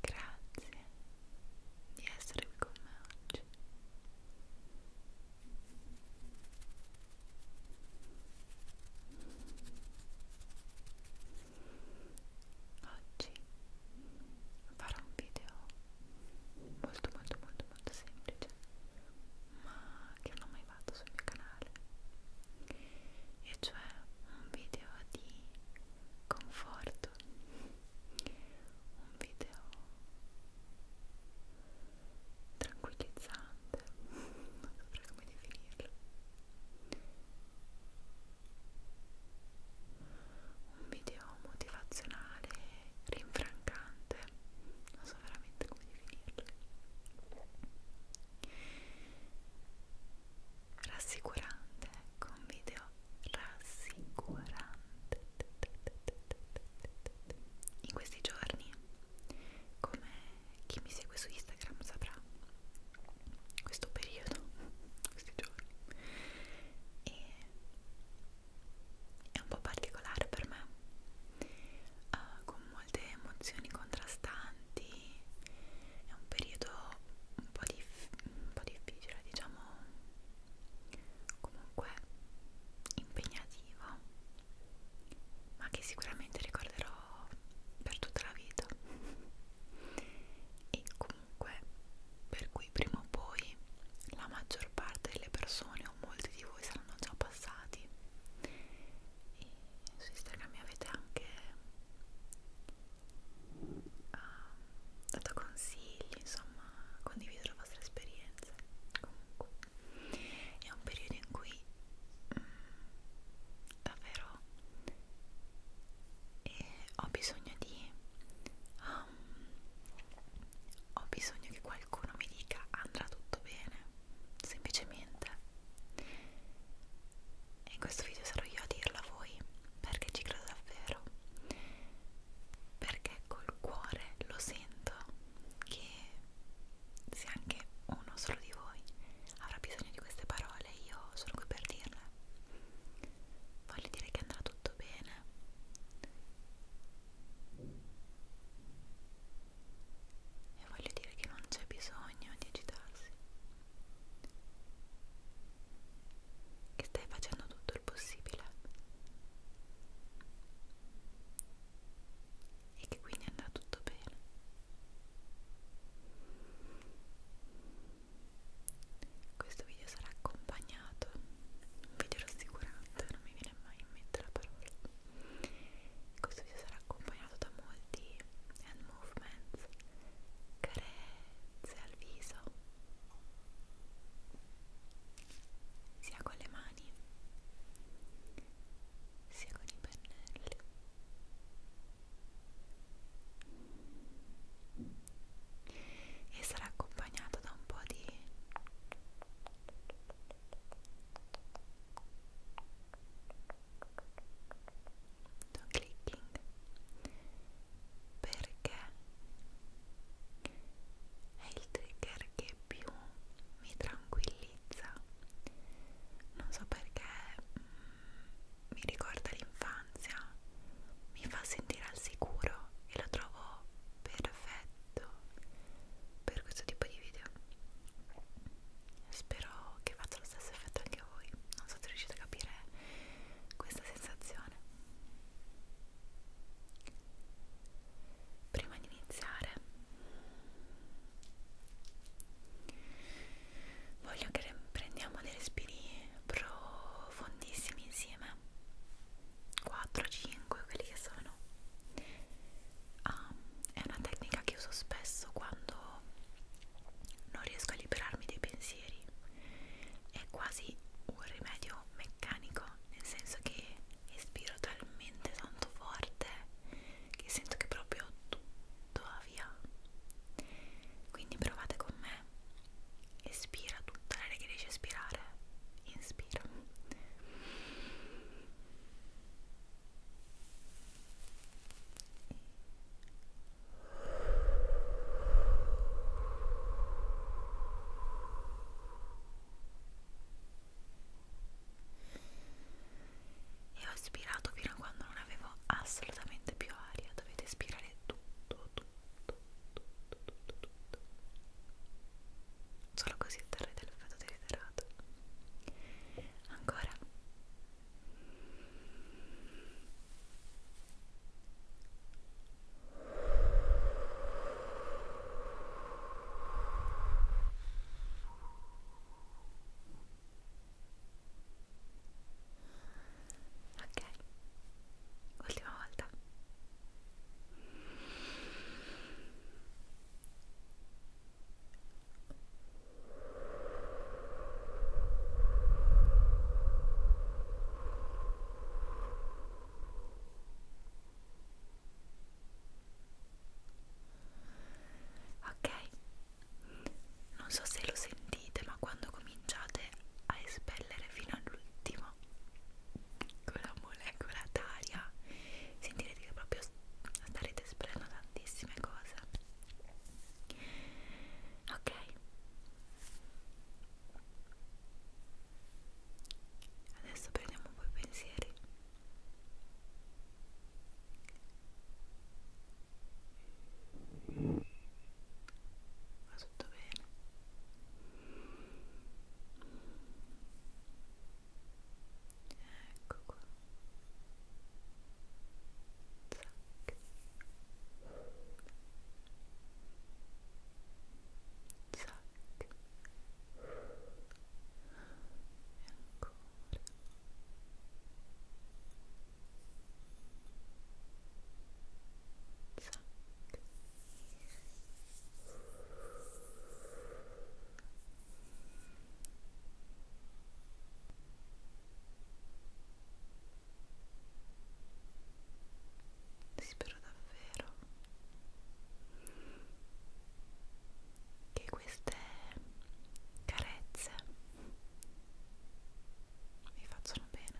Grazie di essere qui con me oggi. Oggi farò un video molto molto molto molto semplice ma che non ho mai fatto sul mio canale e cioè un video di conforto un video tranquillizzante non saprei come definirlo un video motivazionale rinfrancante non so veramente come definirlo rassicurante, ecco un video rassicurante in questi giorni come chi mi segue su Instagram saprà questo periodo, questi giorni e è un po' particolare per me uh, con molte emozioni contrastanti avanti è un periodo un po, un po' difficile diciamo comunque impegnativo ma che sicuramente ricorderò per tutta la vita e comunque per cui prima o poi la maggior parte delle persone o molti di voi saranno già passati e su Instagram mi avete anche ha ehm, dato consigli, insomma, condiviso la vostra esperienza. Comunque, è un periodo in cui mh, mm, davvero eh, ho bisogno di. Um, ho bisogno che qualcuno mi dica andrà tutto bene, semplicemente e in questo video sarò io a dirla a voi perché ci credo davvero perché col cuore lo sento che se anche uno solo di voi avrà bisogno di queste parole io sono qui per dirle voglio dire che andrà tutto bene e voglio dire che non c'è bisogno di agitarsi che stai facendo tutto il possibile e che quindi andrà tutto bene questo video sarà accompagnato un video rassicurante non mi viene mai in mente la parola questo video sarà accompagnato da molti hand movements, carezze al viso, sia con le mani, sia con i pennelli. E sarà accompagnato da un po' di no clicking perché è il trigger che più mi tranquillizza non so perché mh, mm, mi ricorda l'infanzia mi fa sentire al sicuro e lo trovo perfetto per questo tipo di video spero che faccia lo stesso effetto anche a voi non so se riuscite a capire questa sensazione prima di iniziare voglio che prendiamo dei respiri profondissimi insieme 4 5 quelli che sono ah, è una tecnica che uso spesso quando non riesco a liberarmi dei pensieri è quasi un rimedio meccanico nel senso che espiro talmente tanto forte che sento che proprio tutto va via quindi provate con me espira tutta l'aria che riesci a espirare inspira e ho ispirato fino a quando non avevo assolutamente più aria, dovete ispirare tutto, tutto, tutto, tutto, tutto. Solo così otterrete l'effetto desiderato. Ancora. Ok, ultima volta. Ok, non so se lo sentite, ma quando cominciate a espellere fino all'ultimo con la molecola d'aria sentirete che proprio starete sparando tantissime cose ok adesso prendiamo un po' i pensieri va tutto bene ecco qua zac zac e ancora zac Zac. Spero davvero che queste carezze vi facciano bene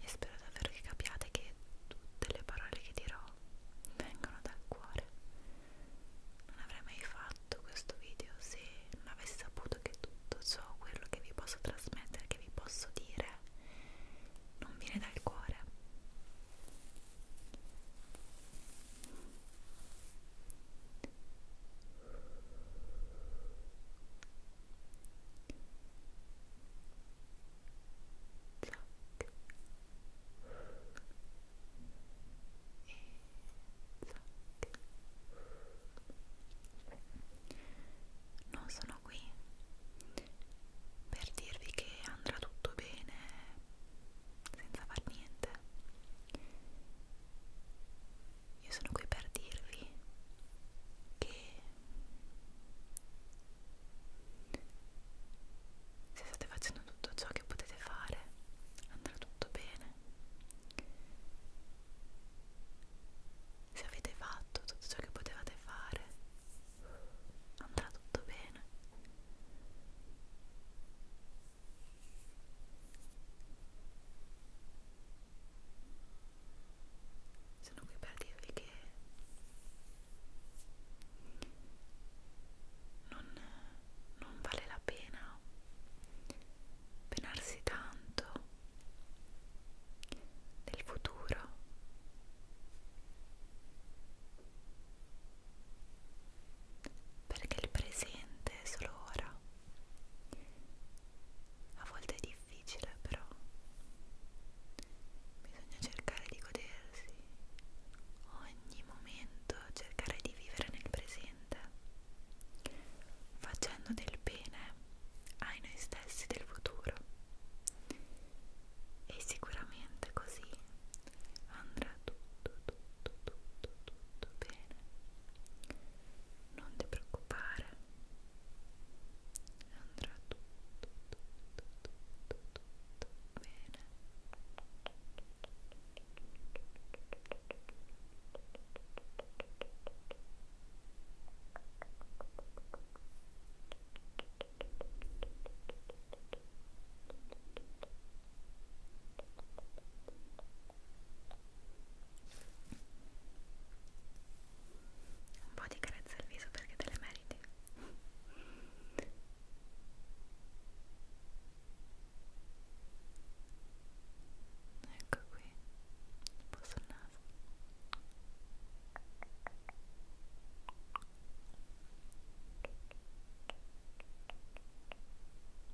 e spero davvero che capiate che tutte le parole che dirò vengono dal cuore non avrei mai fatto questo video se non avessi saputo che tutto ciò, quello che vi posso trasmettere, che vi posso dire, non viene dal cuore. Zac, non sono qui per dirvi che andrà tutto bene senza far niente io sono qui per dirvi che se state facendo tutto ciò che potete fare andrà tutto bene se avete fatto tutto ciò che potevate fare andrà tutto bene sono qui per dirvi che non, non vale la pena penarsi tanto del futuro perché il presente è solo ora a volte è difficile però bisogna cercare di godersi ogni ogni momento cercare di vivere nel presente, facendo del bene ai noi stessi del futuro. E sicuramente così andrà tutto, tutto, tutto, tutto bene. Non ti preoccupare, andrà tutto, tutto, tutto, tutto, tutto bene un po' di carezza al viso perché te le meriti solite ecco qui un po' sul naso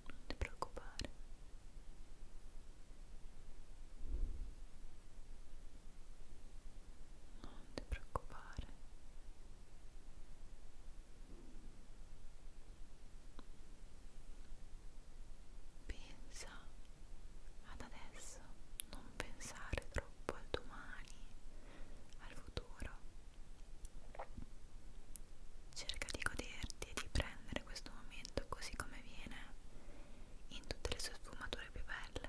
non ti preoccupare non ti preoccupare Pensa ad adesso, non pensare troppo al domani, al futuro. Cerca di goderti e di prendere questo momento così come viene, in tutte le sue sfumature più belle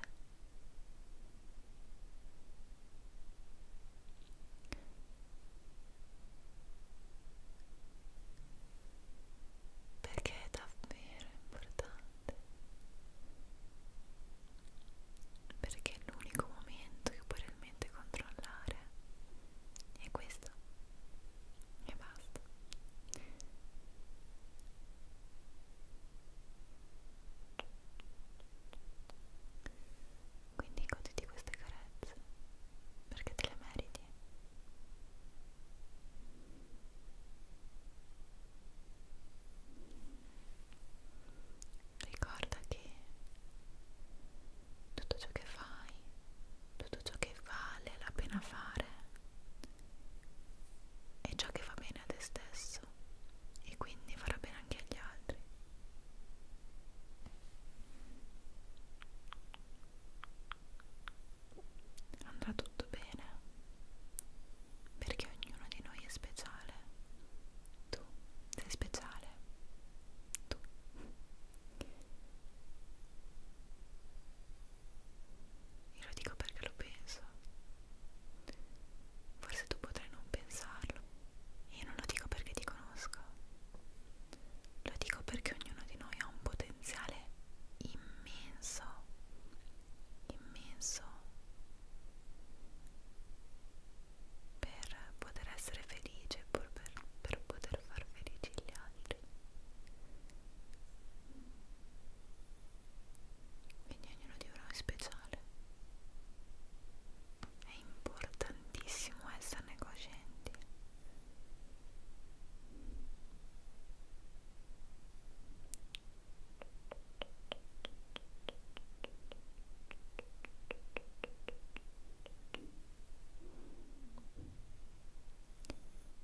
perché è davvero importante perché è l'unico momento che puoi realmente controllare è questo e basta quindi goditi queste carezze perché te le meriti. Ricorda che tutto ciò che fai, tutto ciò che vale la pena fare è ciò che fa bene a te stesso e quindi farà bene anche agli altri. Andrà tutto bene perché ognuno di noi è speciale. Tu sei speciale. Tu. Io lo dico perché lo penso. Forse tu potrai non pensarlo. Io non lo dico perché ti conosco. Lo dico perché ognuno di noi ha un potenziale immenso. Immenso. Per poter essere felice, per, per poter far felici gli altri quindi ognuno di loro è speciale è importantissimo esserne coscienti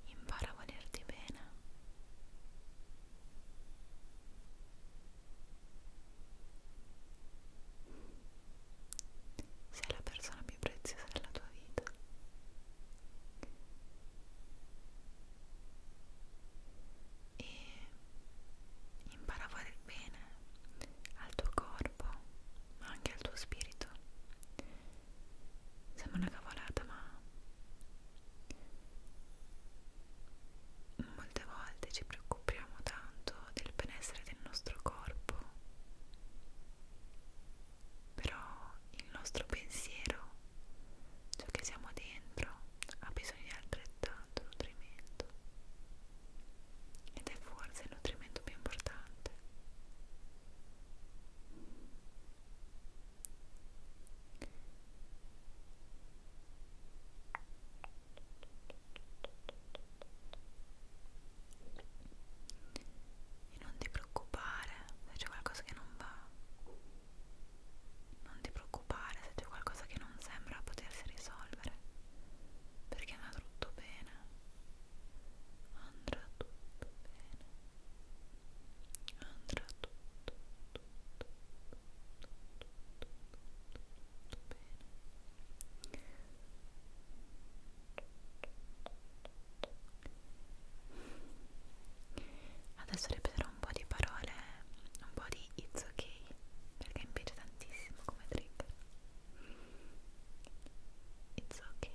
Impara a volerti bene. Sei la persona più preziosa della tua vita. E impara a fare il bene al tuo corpo, ma anche al tuo spirito. Sembra una cavolata, ma Molte volte ci preoccupiamo tanto del benessere del nostro corpo, però il nostro pensiero, ciò che siamo dentro, ha bisogno di altrettanto nutrimento ed è forse il nutrimento più importante. E non ti preoccupare se c'è qualcosa che non va. Non ti preoccupare se c'è qualcosa che non sembra potersi risolvere. Perché andrà tutto bene. Andrà tutto bene. Andrà tutto, tutto Adesso ripeterò un po' di parole, un po' di it's okay, perché mi piace tantissimo come trigger. It's okay.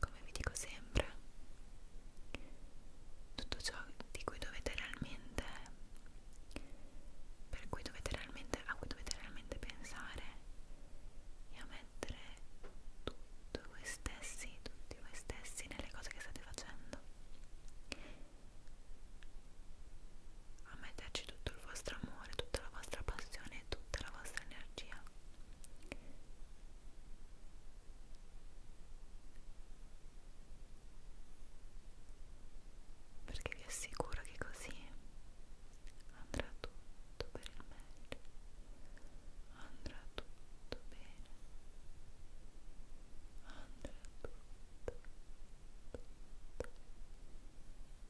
come vi dico sempre tutto ciò di cui dovete realmente per cui dovete realmente a cui dovete realmente pensare e a mettere tutto voi stessi tutti voi stessi nelle cose che state facendo a metterci tutto il vostro amore, tutta la vostra passione, tutta la vostra energia perché vi assicuro che così andrà tutto per il meglio andrà tutto bene andrà tutto tutto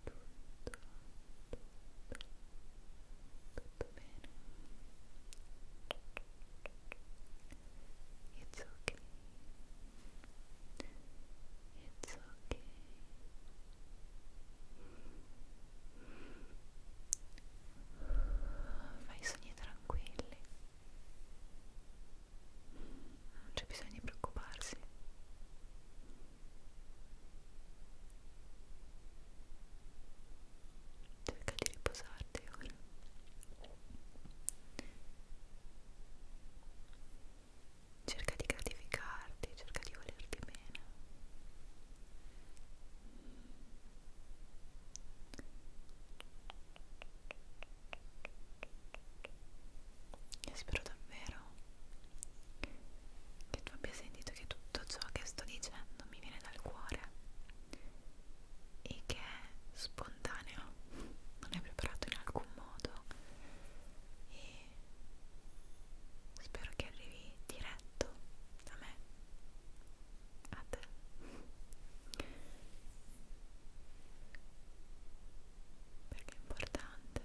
tutto tutto tutto bene? It's okay. It's okay. Fai sogni tranquilli. Non c'è bisogno di preoccuparsi. Cerca di riposarti ora. Cerca di gratificarti, cerca di volerti bene. E spero davvero che tu abbia sentito che tutto ciò che sto dicendo mi viene dal cuore e che è spontaneo, non è preparato in alcun modo e spero che arrivi diretto da me a te perché è importante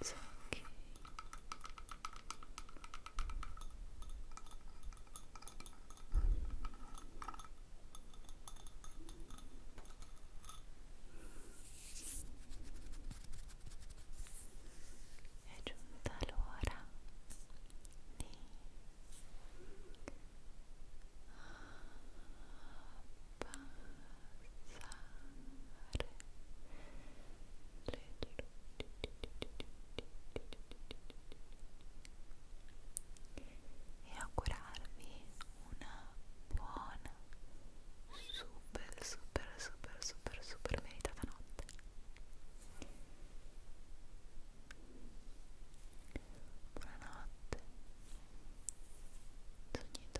It's okay. È giunta l'ora di e augurarvi una buona super super super super super meritata notte buonanotte sognate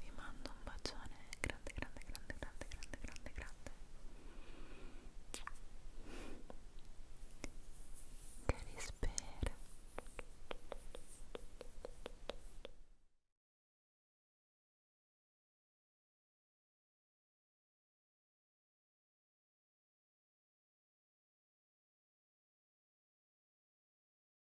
vi mando un bacione grande grande grande grande grande grande grande che vi spero